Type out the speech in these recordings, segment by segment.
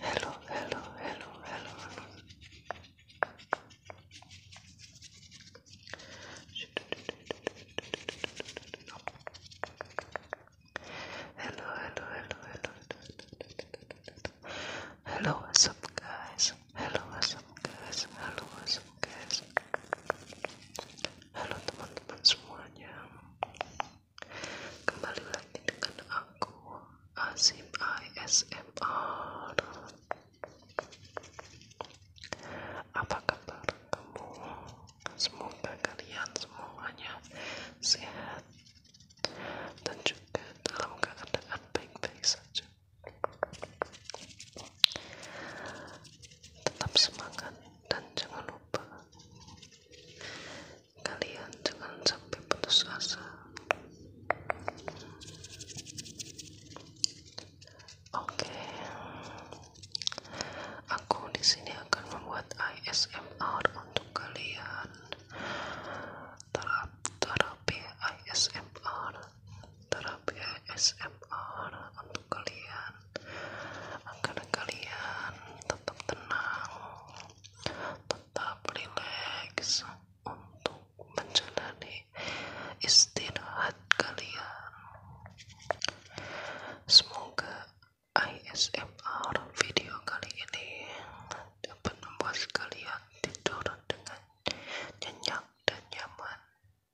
Hello, hello, hello, hello. Hello, hello, hello, hello. Hello, what's up, guys? Hello, what's up, guys? Hello, what's up, guys? Hello, teman-teman semuanya. Kembali lagi dengan aku Azim ASMR. Apa kabar kamu? Semoga kalian semuanya sehat dan juga dalam keadaan baik-baik saja. Tetap semangat dan jangan lupa kalian jangan sampai putus asa oke aku di sini akan membuat ismr untuk kalian terapi ismr terapi ismr untuk kalian agar kalian tetap tenang tetap rileks untuk menjalani istirahat kalian. Semoga ASMR video kali ini dapat membuat kalian tidur dengan nyenyak dan nyaman.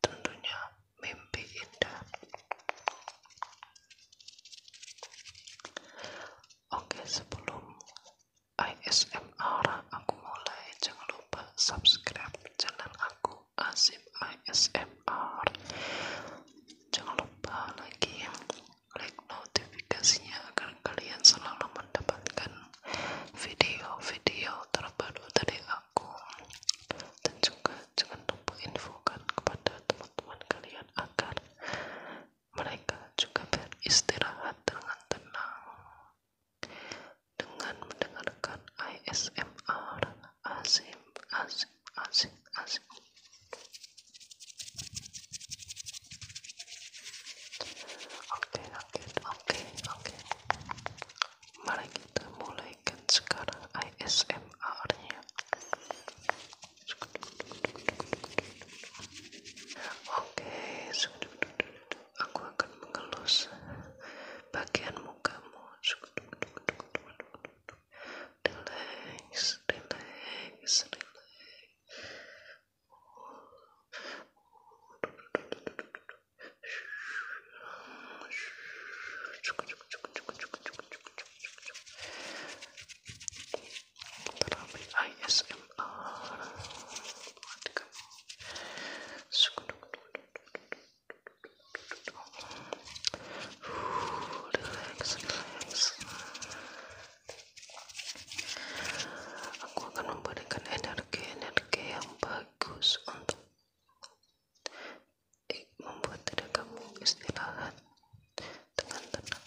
Tentunya mimpi indah. Oke, sebelum ASMR aku mulai, jangan lupa subscribe channel aku Asif ASMR. Jangan lupa lagi klik notifikasinya agar kalian selalu mendapatkan video-video terbaru dari aku. Dan juga jangan lupa infokan kepada teman-teman kalian agar mereka juga beristirahat dengan tenang dengan mendengarkan ASMR asik asik asik asik oke oke oke oke mari kita mulaikan sekarang ASMR nya Oke, aku akan mengelus bagian mukamu. Relax, relax, relax aku akan memberikan energi-energi yang bagus untuk membuat diri kamu istirahat dengan tenang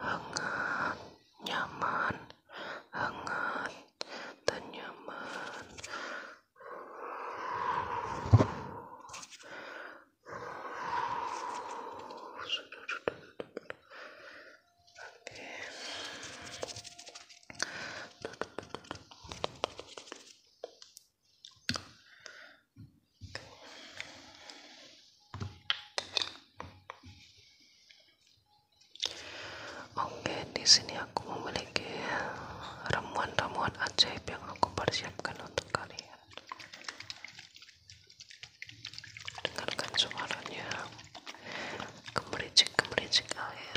hangat nyaman hangat dan nyaman Oke, di sini aku memiliki ramuan-ramuan ajaib yang aku persiapkan untuk kalian. Dengarkan suaranya, gemericik-gemericik air.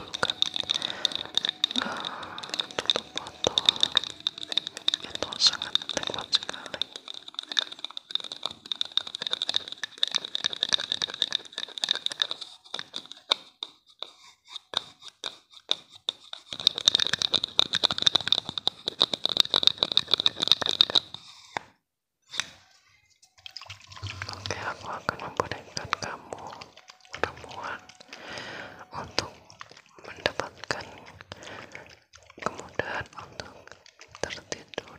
bahkan uh, tutup botol itu sangat nikmat sekali Oke, aku akan memberikan kamu perempuan untuk mendapatkan kemudahan untuk tertidur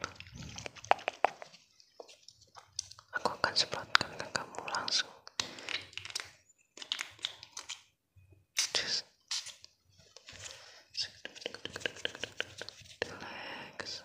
aku akan semprotkan ke kamu langsung Just. relax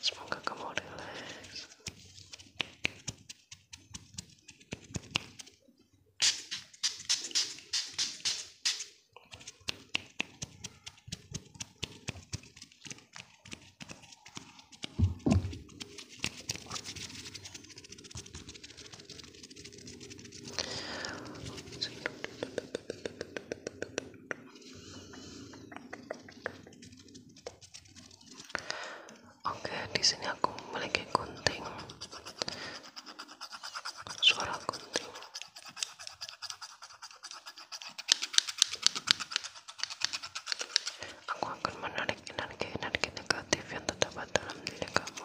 Semoga kamu relax. Oke, di sini aku memiliki gunting. Suara gunting. Aku akan menarik energi-energi negatif yang terdapat dalam diri kamu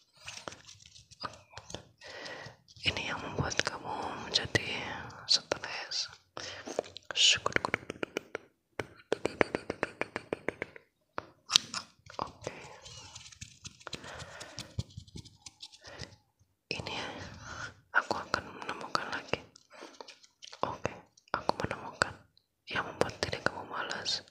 ini yang membuat kamu menjadi stres Oke, ini ya, aku akan menemukan lagi. Oke, aku menemukan yang membuat diri kamu malas.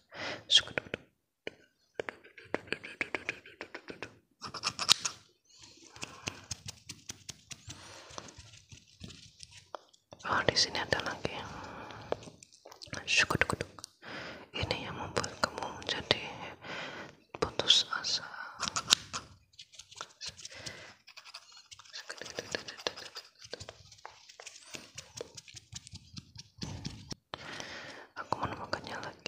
Oh, di sini ada lagi yang syukur Ini yang membuat kamu menjadi putus asa. Aku menemukannya lagi.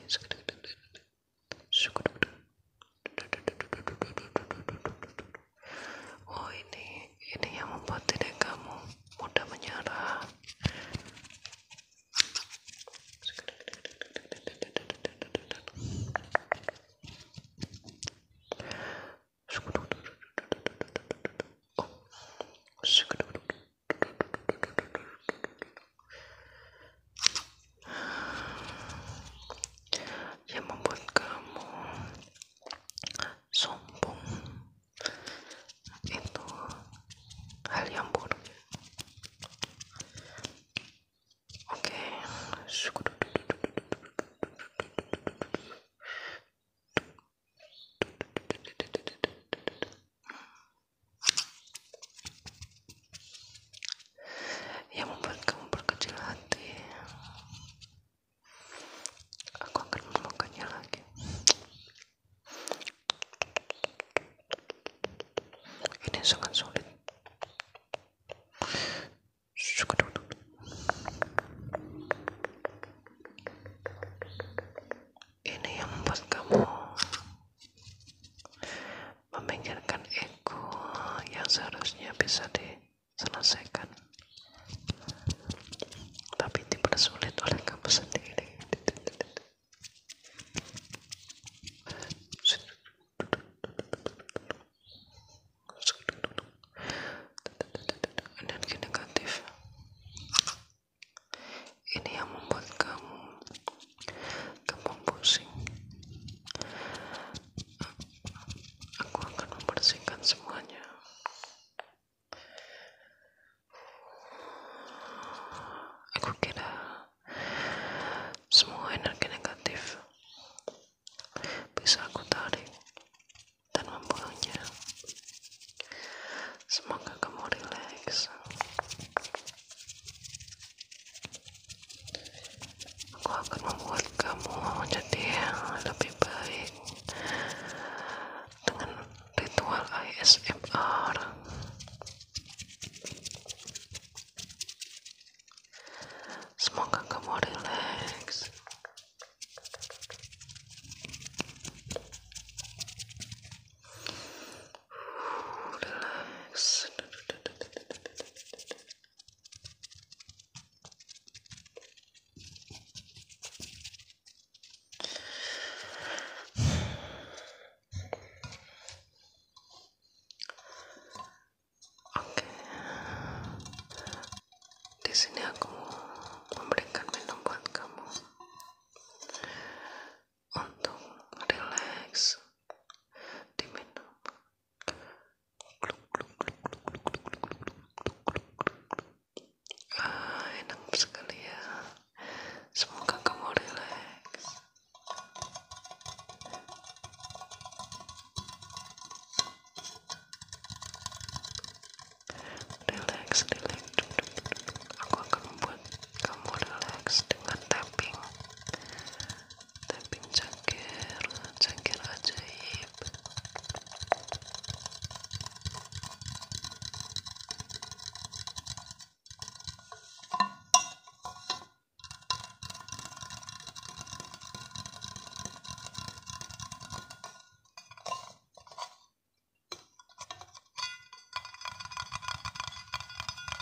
Oh ini, ini yang membuat tidak kamu mudah menyerah yang membuat kamu sombong itu hal yang buruk oke okay yang membuat kamu berkecil hati aku akan memakannya lagi ini sangat sulit suka duduk ini yang membuat kamu memikirkan ego yang seharusnya bisa diselesaikan tapi dipersulit oleh kamu sendiri energi negatif ini yang membuat kamu kamu pusing aku akan membersihkan semuanya aku kira semua energi negatif bisa aku tarik dan membuangnya semoga kamu rileks aku akan membuat kamu jadi lebih baik dengan ritual ISMR. semoga kamu relax relax Oke, di sini aku mau memberikan minuman buat kamu untuk relax diminum ah, enak sekali ya semoga kamu relax relax relax aku akan membuat kamu relax dengan tapping tapping cangkir cangkir ajaib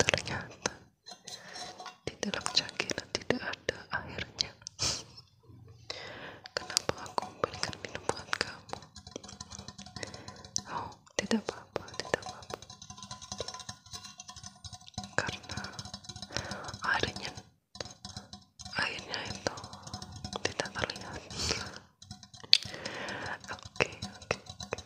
ternyata di dalam cangkiran tidak ada akhirnya. kenapa aku belikan minuman kamu oh tidak apa-apa tidak apa karena akhirnya, airnya itu tidak terlihat Oke, oke, oke.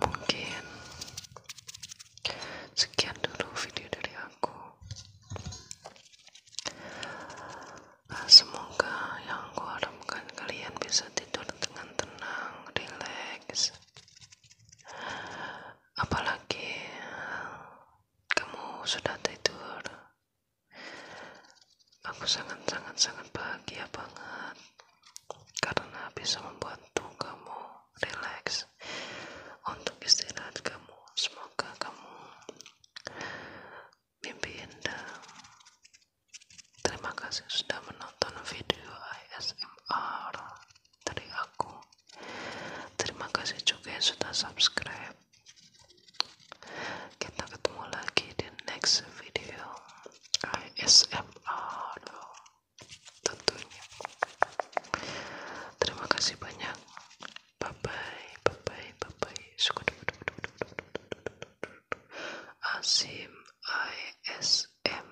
Mungkin sekian dulu video dari aku. Nah, semoga yang aku harapkan kalian bisa tidur dengan tenang, relax. Apalagi kamu sudah tidur. Aku sangat-sangat-sangat bahagia banget karena bisa membantu kamu relax untuk istirahat kamu. Semoga kamu mimpi indah. Terima kasih sudah menonton video ismr dari aku. Terima kasih juga yang sudah subscribe. Kita ketemu lagi di next video ASMR tentunya. Terima kasih banyak. Bye bye, bye bye, bye ASMR